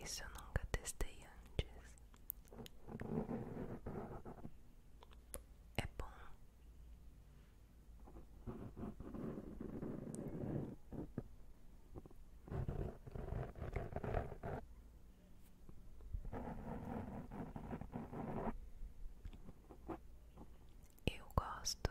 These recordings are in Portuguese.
Isso eu nunca testei antes. É bom. Eu gosto.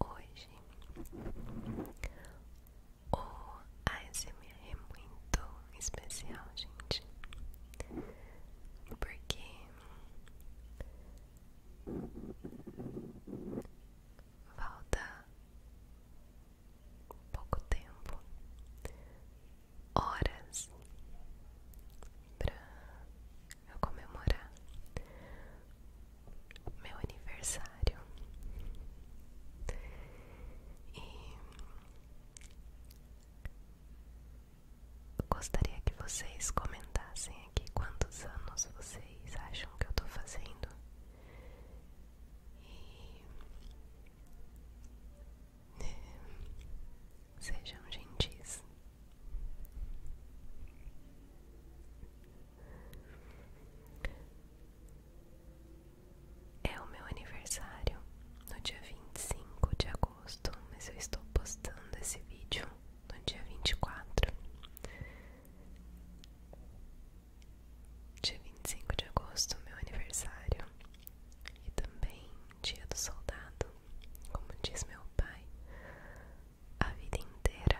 Hoje o ASMR é muito especial, gente, porque falta pouco tempo, horas para eu comemorar meu aniversário e gostaria que vocês comentassem aqui quantos anos vocês acham que eu tô fazendo e né, sejam gentis é o meu aniversário no dia 25 de agosto, mas eu estou postando esse vídeo no dia 24. Dia 25 de agosto, meu aniversário, e também dia do soldado, como diz meu pai, a vida inteira.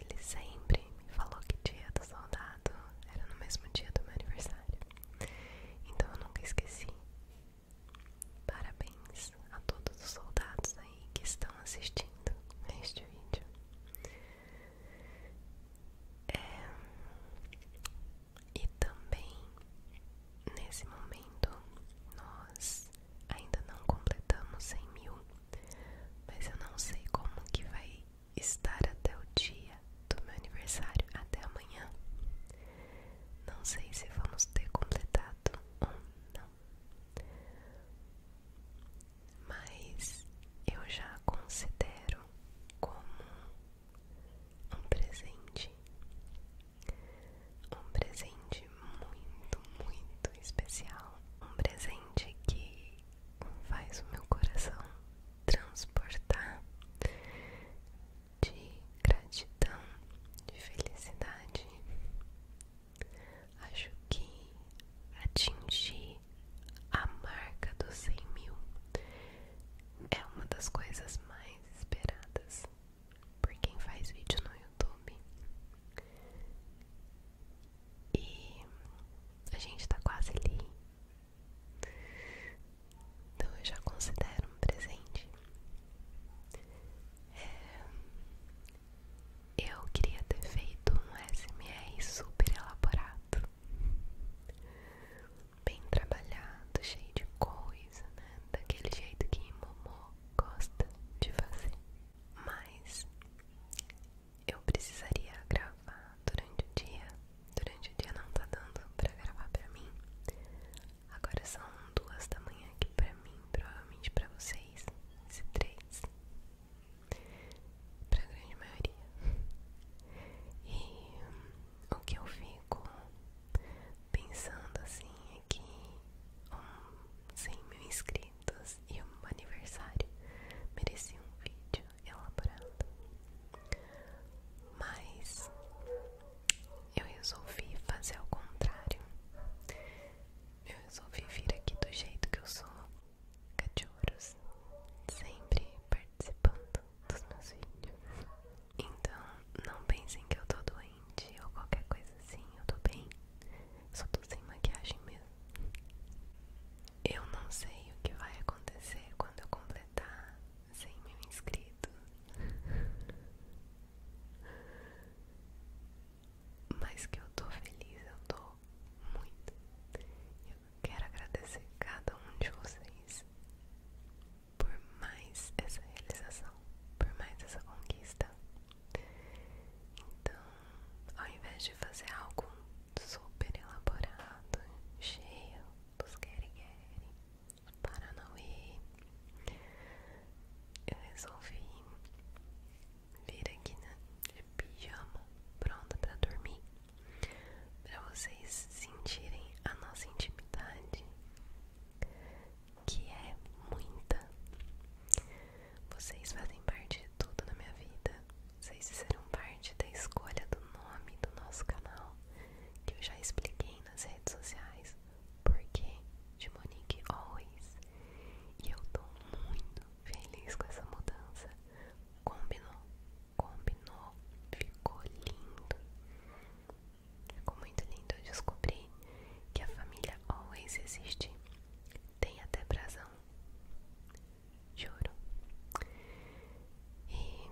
Ele sempre me falou que dia do soldado era no mesmo dia do meu aniversário. Então eu nunca esqueci. Parabéns a todos os soldados aí que estão assistindo este vídeo. É, e também nesse momento nós Ainda não completamos 100 mil, mas eu não sei como que vai estar até o dia do meu aniversário, até amanhã. Não sei se vamos ter completado ou não. Mas eu já considero como um presente um presente muito, muito especial. Um presente que faz o meu coração transportar de gratidão, de felicidade. Acho que atingir a marca dos 100 mil é uma das coisas mais esperadas por quem faz vídeo no YouTube. E a gente tá quase ali. Então eu já considero um presente. É, eu queria ter feito um SMR super elaborado, bem trabalhado, cheio de coisa, né? Daquele jeito que Momô gosta de fazer mas eu precisaria gravar durante o dia. Durante o dia não tá dando pra gravar pra mim. Agora são duas da manhã aqui pra mim, provavelmente pra vocês, se três, pra grande maioria. E o que eu fico pensando assim que 100 mil inscritos e um aniversário merecia um vídeo elaborado mas eu resolvi fazer ao contrário eu resolvi vir aqui do jeito que eu sou cachorros sempre participando dos meus vídeos então não pensem que eu tô doente ou qualquer coisa assim, eu tô bem. Só tô sem maquiagem mesmo. Eu não sei o que vai acontecer quando eu completar 100 mil inscritos. Mas que eu tô feliz, eu tô muito. Eu quero agradecer cada um de vocês por mais essa realização, por mais essa conquista. Então, ao invés de fazer algo super elaborado, cheio dos querigueri, paranauê, eu resolvi vir aqui na pijama, pronta para dormir, para vocês sentirem a nossa intimidade que é muita. Vocês fazem parte de tudo na minha vida. Vocês fizeram parte da escolha do nome do nosso canal, que eu já expliquei nas redes sociais, porque de Monique Always. E eu tô muito feliz com essa mudança. Combinou, combinou, ficou lindo. Ficou muito lindo. Eu descobri que a família Always existe tem até brasão. Juro. E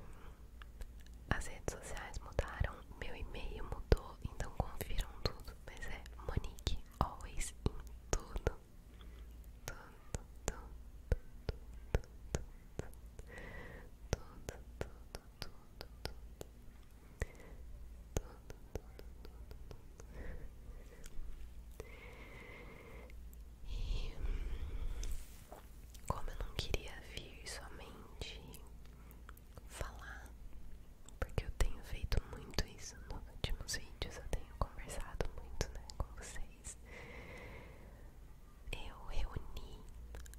as redes sociais mudaram, meu e-mail mudou, então confiram tudo. Mas é Monique Always em tudo. Tudo, tudo, tudo, tudo, tudo, tudo, tudo, tudo, tudo tudo, tudo, tudo, tudo. E como eu não queria vir somente falar, porque eu tenho feito muito isso nos últimos vídeos, eu tenho conversado muito né, com vocês. Eu reuni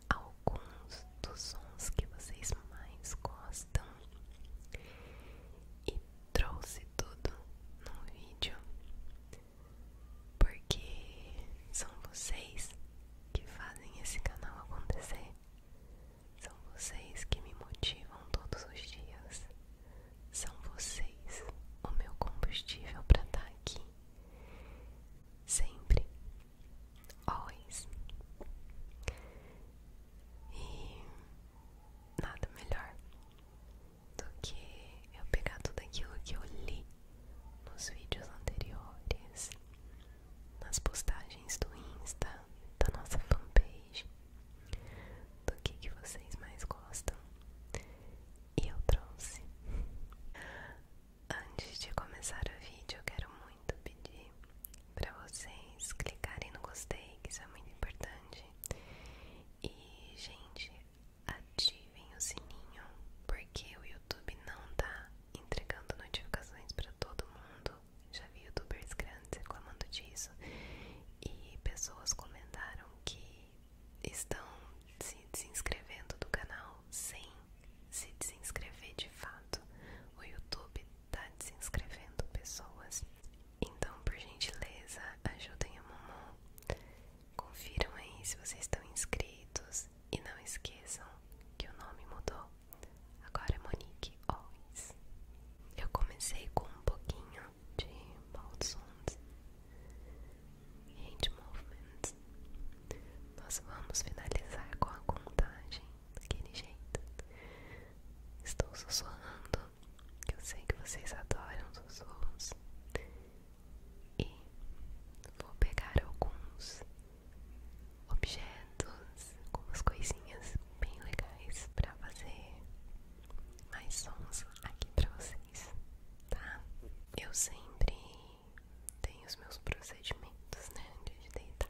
alguns dos sons que vocês mais gostam e trouxe tudo no vídeo porque são vocês que fazem esse canal acontecer, são vocês que me motivam todos os dias, são vocês o meu combustível para estar tá aqui sempre, always. E nada melhor do que eu pegar tudo aquilo que eu li nos vídeos anteriores, nas postagens do Insta, da nossa fanpage, do que, que vocês mais gostam. E eu trouxe. Antes de começar o vídeo, eu quero muito pedir para vocês clicarem no gostei, que isso é muito importante. E, gente, ativem o sininho, porque o YouTube não tá entregando notificações para todo mundo. Já vi youtubers grandes reclamando disso. E pessoas comentaram que estão se desinscrevendo do canal sem se desinscrever de fato. O YouTube tá desinscrevendo pessoas. Então, por gentileza, ajudem a mamão. Confiram aí se vocês estão inscritos e não esqueçam que o nome mudou. Agora é Monique Owens. Eu comecei com um pouquinho de Balsons Hand Movement. Nós vamos finalizar com a contagem daquele jeito. Estou sussurrando eu sei que vocês adoram sons E vou pegar alguns objetos, algumas coisinhas bem legais pra fazer mais sons aqui pra vocês, tá? Eu sempre tenho os meus procedimentos, né? de deitar.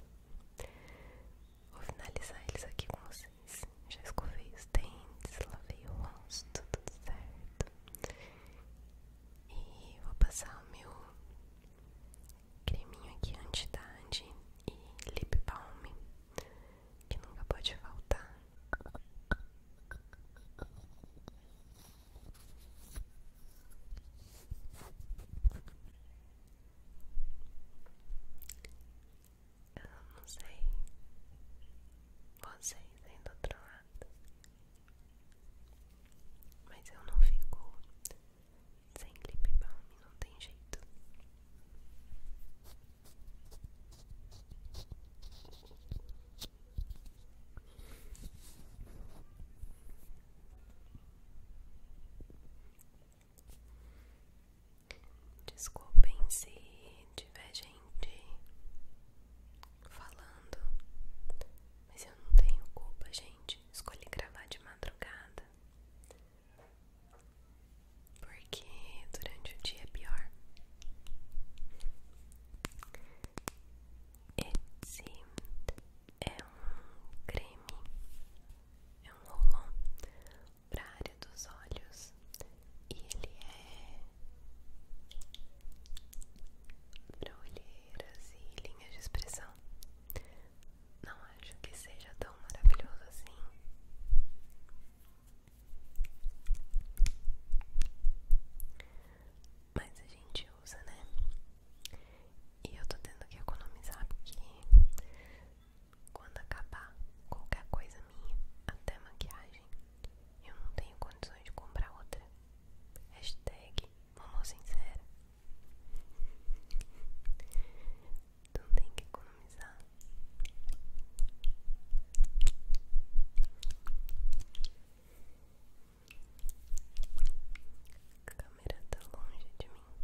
Vou finalizar eles aqui com vocês. Já escovei os dentes, lavei o rosto, tudo certo. E vou passar o meu creminho aqui anti-idade e lip balm, que nunca pode faltar. Eu não sei vocês aí do outro lado, mas eu não fico sem lip balm, não tem jeito. Desculpem se tiver gente falando, mas eu não tenho culpa, gente. Escolhi gravar de madrugada porque durante o dia é pior. Esse é um creme, é um rolão para a área dos olhos e ele é para olheiras e linhas de expressão. Não acho que seja tão maravilhoso assim. Mas a gente usa, né? E eu tô tendo que economizar aqui. Quando acabar qualquer coisa minha, até maquiagem, eu não tenho condições de comprar outra. Hashtag sincera. Então tem que economizar. A câmera tá longe de mim.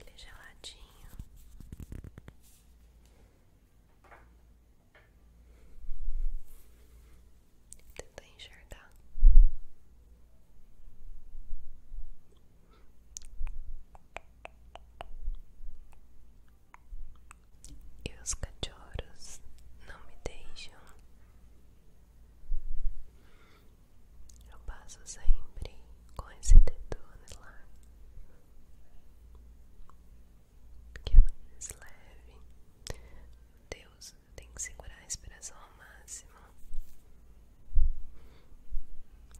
Ele é geladinho. Tenta enxergar. E os cachorros não me deixam. Eu passo sempre com esse dedo lá, que é mais leve. Deus, eu tenho que segurar a respiração ao máximo.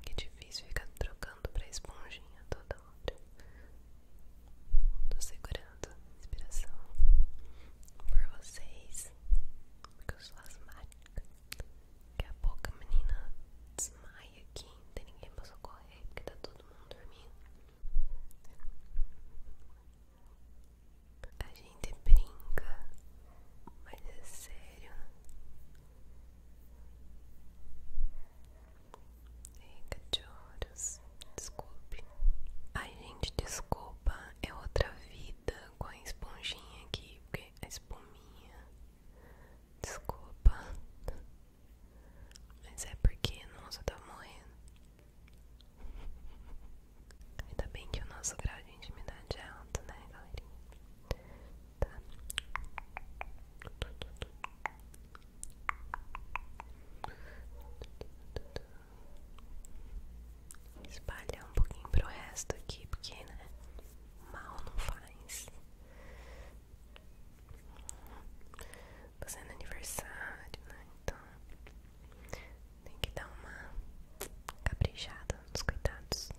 Que difícil ficar trocando pra esponjinha toda hora. Tô segurando a inspiração por vocês, porque eu sou asmática. Daqui a pouco a menina desmaia aqui, não tem ninguém pra socorrer, porque tá todo mundo dormindo. A gente brinca, mas é sério. Fica de olhos, desculpe. Ai, gente, desculpa, é outra vida com a esponjinha aqui, porque a espuminha. Desculpa, mas é porque, nosso eu morrendo. Ainda bem que o nosso grau de intimidade é alto, né, galerinha? tá? Espalhar um pouquinho pro resto aqui, porque, né? Mal não faz. Fazendo tá aniversário, né? Então tem que dar uma caprichada nos cuidados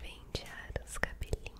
pentear os cabelinhos.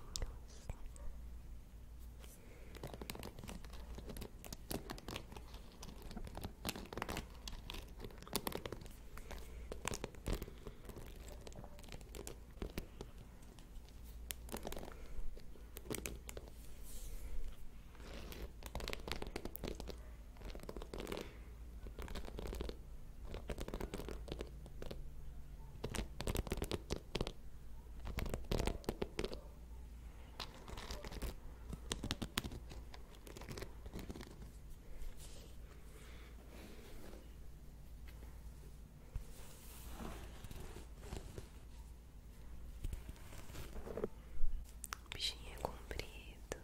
O bichinho é comprido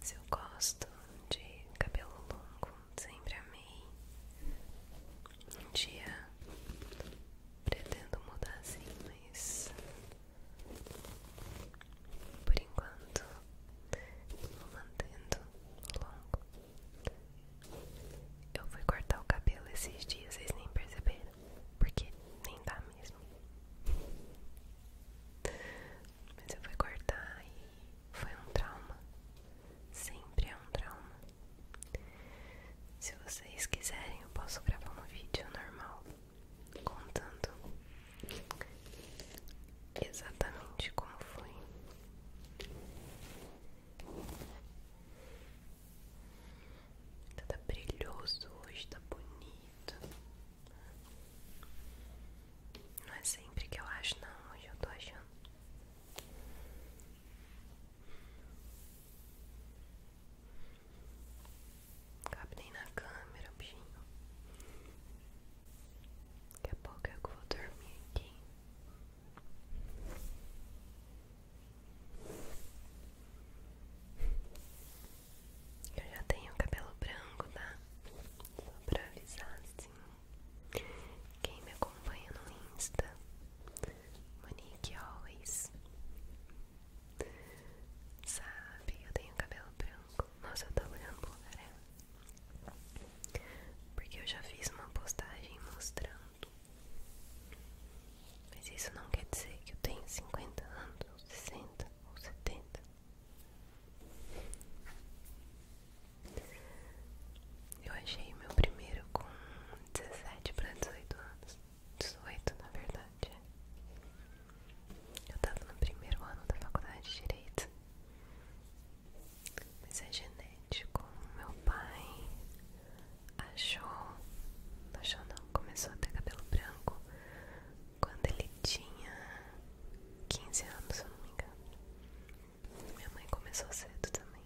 se eu gosto de cabelo longo, sempre amei. Um dia pretendo mudar assim, mas por enquanto vou mantendo longo. Eu fui cortar o cabelo esses dias, vocês nem perceberam, porque nem dá mesmo mas eu fui cortar e foi um trauma. Sempre é um trauma. Se vocês quiserem, eu posso gravar um vídeo normal contando exatamente como foi. Tá, brilhoso hoje, tá bonito. Não é sempre que eu acho, não. Hoje eu tô achando. Não cabe nem na câmera, bichinho. Daqui a pouco é eu vou dormir aqui. Eu já tenho cabelo branco, tá? Só pra avisar assim. Quem me acompanha no Insta, Monique Always, sabe? Eu tenho cabelo branco. Nossa, eu tô olhando pro lugar. Porque eu já fiz uma postagem mostrando. Mas isso não quer dizer que eu tenho 50 anos, ou 60 ou 70. Eu achei meu primeiro com 17 para 18 anos. 18 na verdade. Eu tava no primeiro ano da faculdade de Direito. Mas é genético. Meu pai achou. Achou não, começou a ter cabelo branco quando ele tinha 15 anos, eu não me engano. Minha mãe começou cedo também.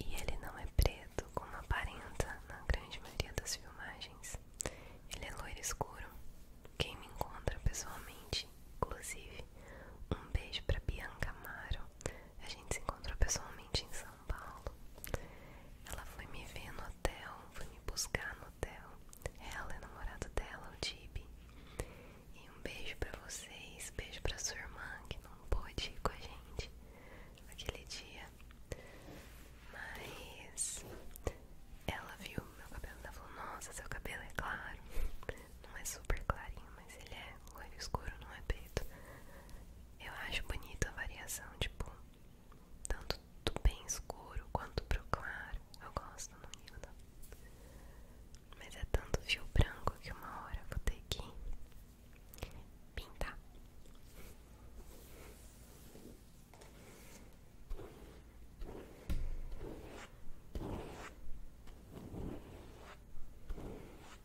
E ele não é preto, como aparenta na grande maioria das filmagens. Ele é loiro escuro. Quem me encontra pessoalmente, inclusive, um beijo para Bianca Amaro, a gente se encontrou pessoalmente em São Paulo. Ela foi me ver no hotel, foi me buscar no hotel. Ela é namorada dela, o Tibi. E um beijo pra vocês, beijo pra sua irmã que não pôde ir com a gente naquele dia. Mas ela viu meu cabelo e falou: Nossa, seu cabelo é claro. Não é super clarinho, mas ele é loiro escuro, não é preto. Eu acho bonito a variação, tipo, tanto do bem escuro quanto pro claro. Eu gosto no livro. Mas é tanto fio branco que uma hora vou ter que pintar.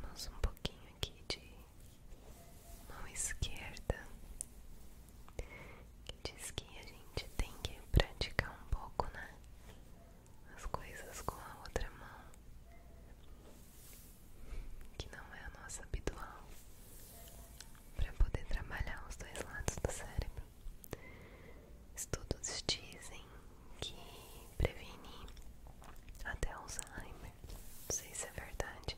Vamos um pouquinho aqui de mão esquerda, que diz que a gente tem que praticar um pouco, né? As coisas com a outra mão, que não é a nossa habitual para poder trabalhar os dois lados do cérebro. Estudos dizem que previne até Alzheimer. Não sei se é verdade,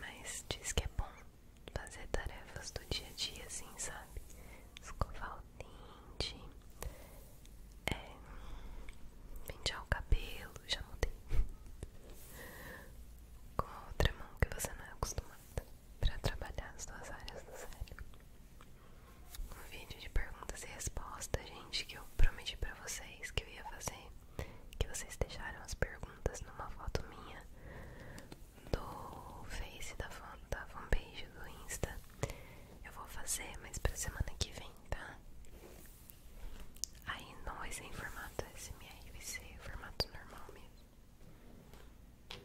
mas diz que é bom fazer tarefas do dia a dia, assim, sabe? Escovar o dente, é, pentear o cabelo, já mudei com a outra mão que você não é acostumada para trabalhar as duas áreas do cérebro. O vídeo de perguntas e respostas, gente, que eu prometi para vocês que eu ia fazer, que vocês deixaram as perguntas numa foto minha do Face da, fan, da fanpage do Insta. Eu vou fazer, mas para semana que vem, tá? Aí não vai em formato SMR, vai em formato normal mesmo. Eu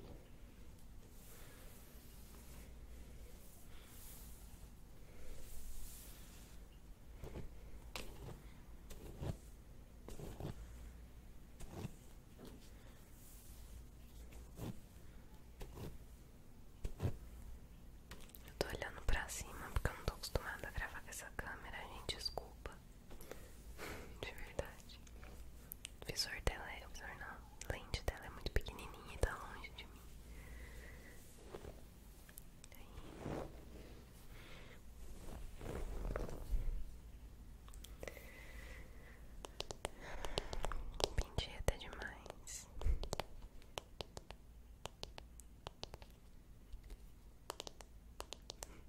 tô olhando pra cima porque eu não tô acostumada a gravar com essa câmera, gente. Desculpa. De verdade. O visor dela é. O visor não. A lente dela é muito pequenininha e tá longe de mim. Aí. Pentei até demais.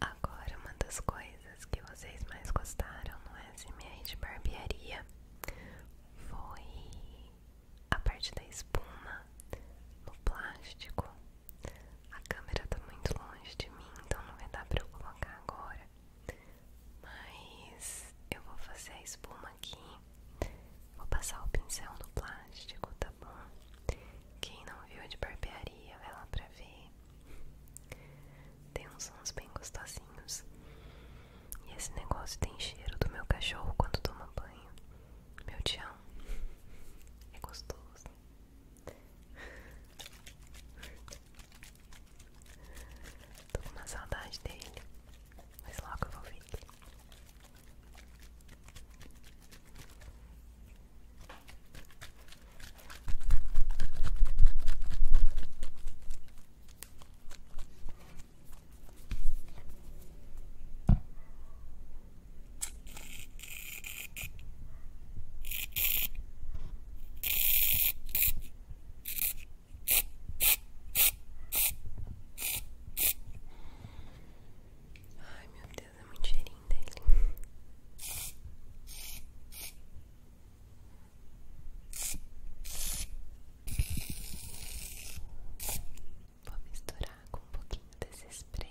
Agora, uma das coisas que vocês mais gostaram no SMR de barbearia foi a parte da espuma no plástico. A câmera tá muito longe de mim, então não vai dar pra eu colocar agora. Mas eu vou fazer a espuma aqui. Vou passar o pincel no plástico, tá bom? Quem não viu de barbearia, vai lá pra ver. Tem uns sons bem gostosinhos. E esse negócio tem cheiro do meu cachorro quando toma banho. Meu tchau. É gostoso. Tô com uma saudade dele, mas logo eu vou ver Ai, meu Deus, é muito cheirinho dele. Vou misturar com um pouquinho desse spray.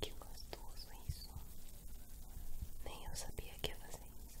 Que gostoso isso. Nem eu sabia que ia fazer isso.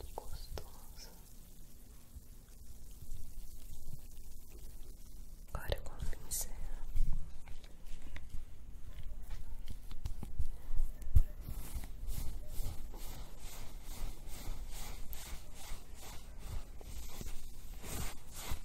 Que gostoso. Agora eu vou pincel.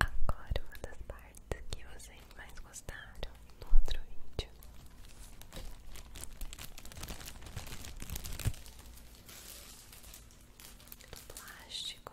Agora uma das partes que vocês mais gostaram no outro vídeo. Do plástico.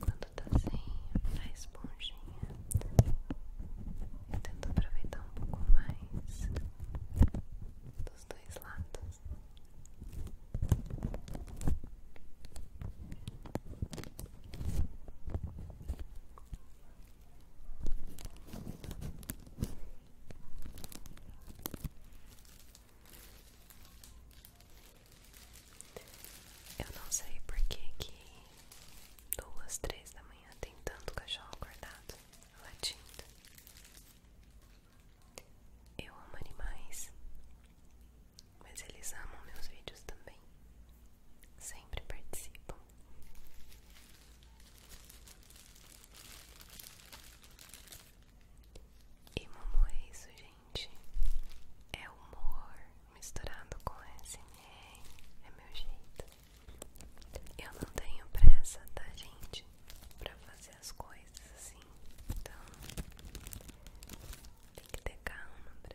Quando tá sem a esponjinha, eu tento aproveitar um pouco mais dos dois lados. Eu não sei por que que duas, três da manhã tem tanto cachorro acordado, latindo. Eu amo animais mas eles amam meus vídeos também. Sempre participam. E Momo é isso, gente. É humor misturado com SMR. É meu jeito. Eu não tenho pressa, tá, gente? Pra fazer as coisas assim. Então, tem que ter calma pra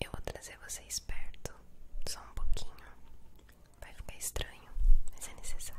Eu vou trazer você esperto só um pouquinho. Vai ficar estranho, mas é necessário.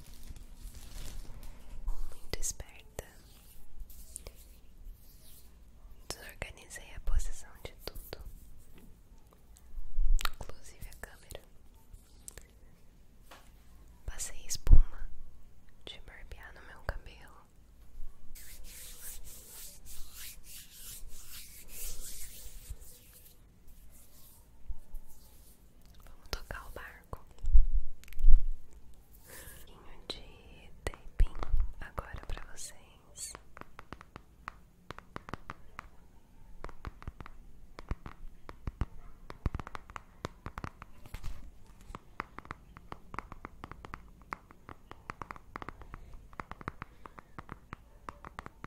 muito esperta. Desorganizei a posição de tudo, inclusive a câmera. Passei espuma de barbear no meu cabelo. Vamos tocar o barco. Um de taping agora para vocês.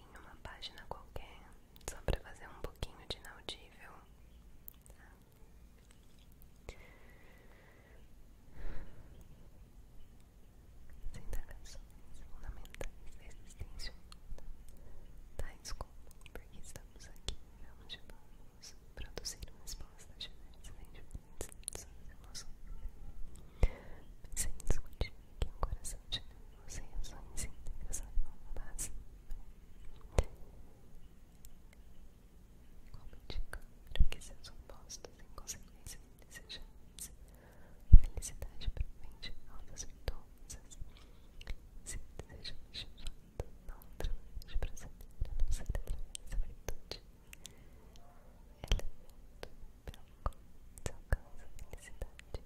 em uma página qualquer, só para fazer um pouquinho de inaudível. Tá? Sem indagações fundamentais da existência humana. Tá, desculpa, porque estamos aqui onde vamos produzir uma resposta a diversos sentimentos e emoções. Sem discutir o coração de associações íntegras levam base como dica que seus opostos em consequência desejadas a felicidade provém de e virtudes se desejamos de fato não ultramente proceder a não ser através da virtude elemento pelo qual se alcança a felicidade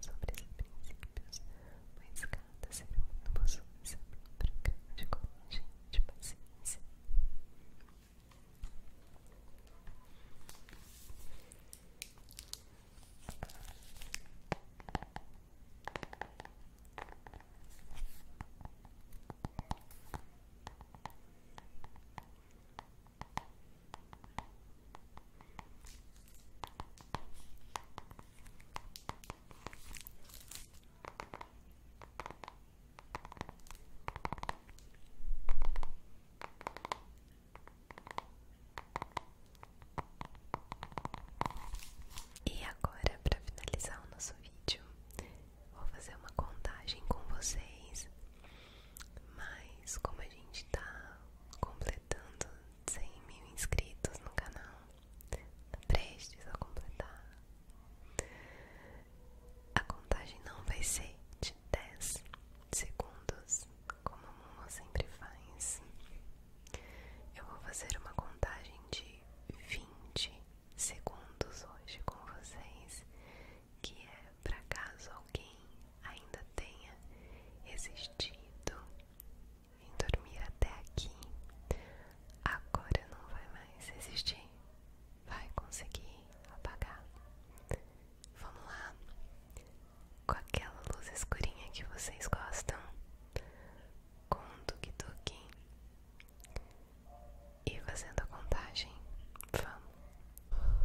sobre os princípios, mas cada ser humano possui seu próprio grande coragem de paciência. E agora, para finalizar o nosso vídeo, vou fazer uma contagem com vocês. Mas como a gente está completando cem mil inscritos no canal, prestes a completar. A contagem não vai ser de 10 segundos, como a Momo sempre faz. Eu vou fazer uma contagem de 20 segundos hoje com vocês, que é para caso alguém ainda tenha resistido vim dormir até aqui. Agora não vai mais existir. Vai conseguir apagar. Vamos lá. Com aquela luz escurinha que vocês gostam. Com um tuk-tuk. E fazendo a contagem. Vamos. Um,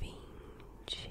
vinte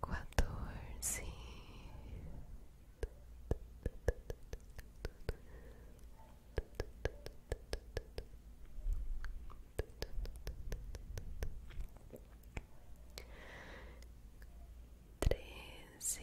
quatorze, treze.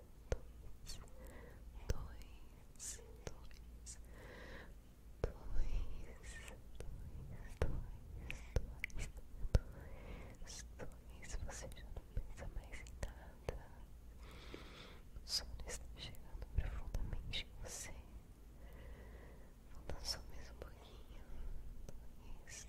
dois, dois, dois, dois, dois, dois, dois, você já não pensa mais em nada. O som está chegando profundamente em você. Falta só mais um pouquinho. Isso, isso,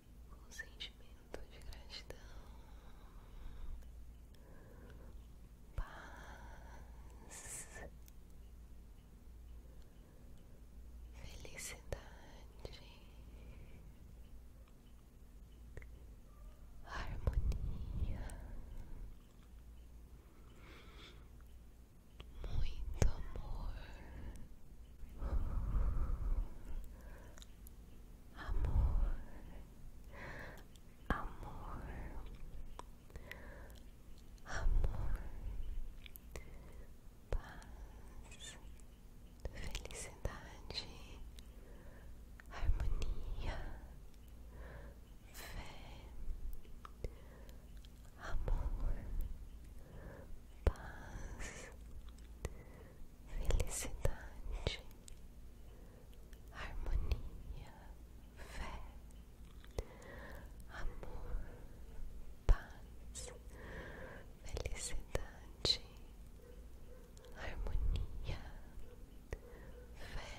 sentimento de gratidão, paz, felicidade, harmonia. Muito amor, amor, amor, amor, paz, felicidade, harmonia, fé, amor, paz felicidade, harmonia, fé, amor, paz, felicidade, harmonia, fé,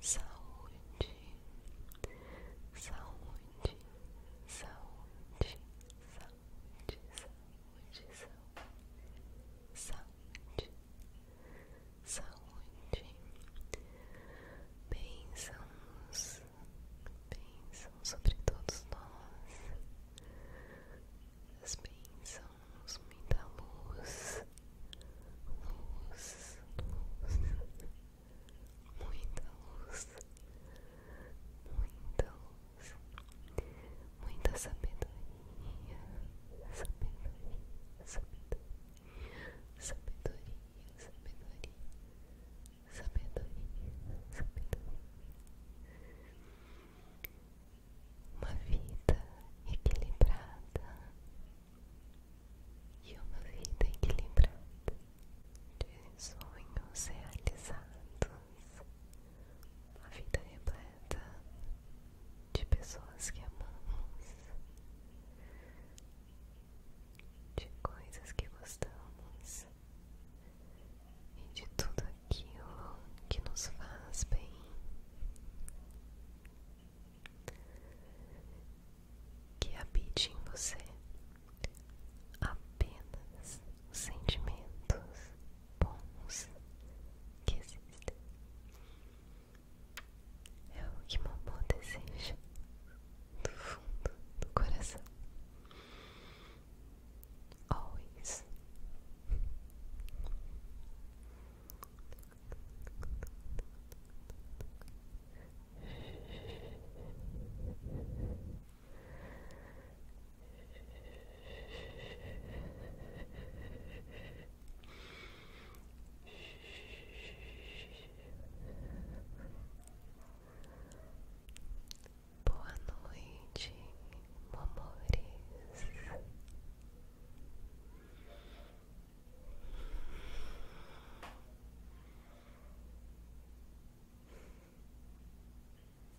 saúde, saúde, saúde, saúde saúde, saúde, saúde, saúde, bênçãos, bênçãos sobre todos nós, as muita luz, luz, luz, muita luz, muita luz muita sabedoria, sabedoria, sabedoria, sabedoria, sabedoria, sabedoria, sabedoria. Uma vida equilibrada e uma vida equilibrada de sonhos realizados a vida repleta de pessoas que amamos, de coisas que gostamos e de tudo aquilo que nos faz bem. Que habite em você apenas os sentimentos bons que existem. É o que Momô deseja do fundo do coração. Always. Boa noite, amores.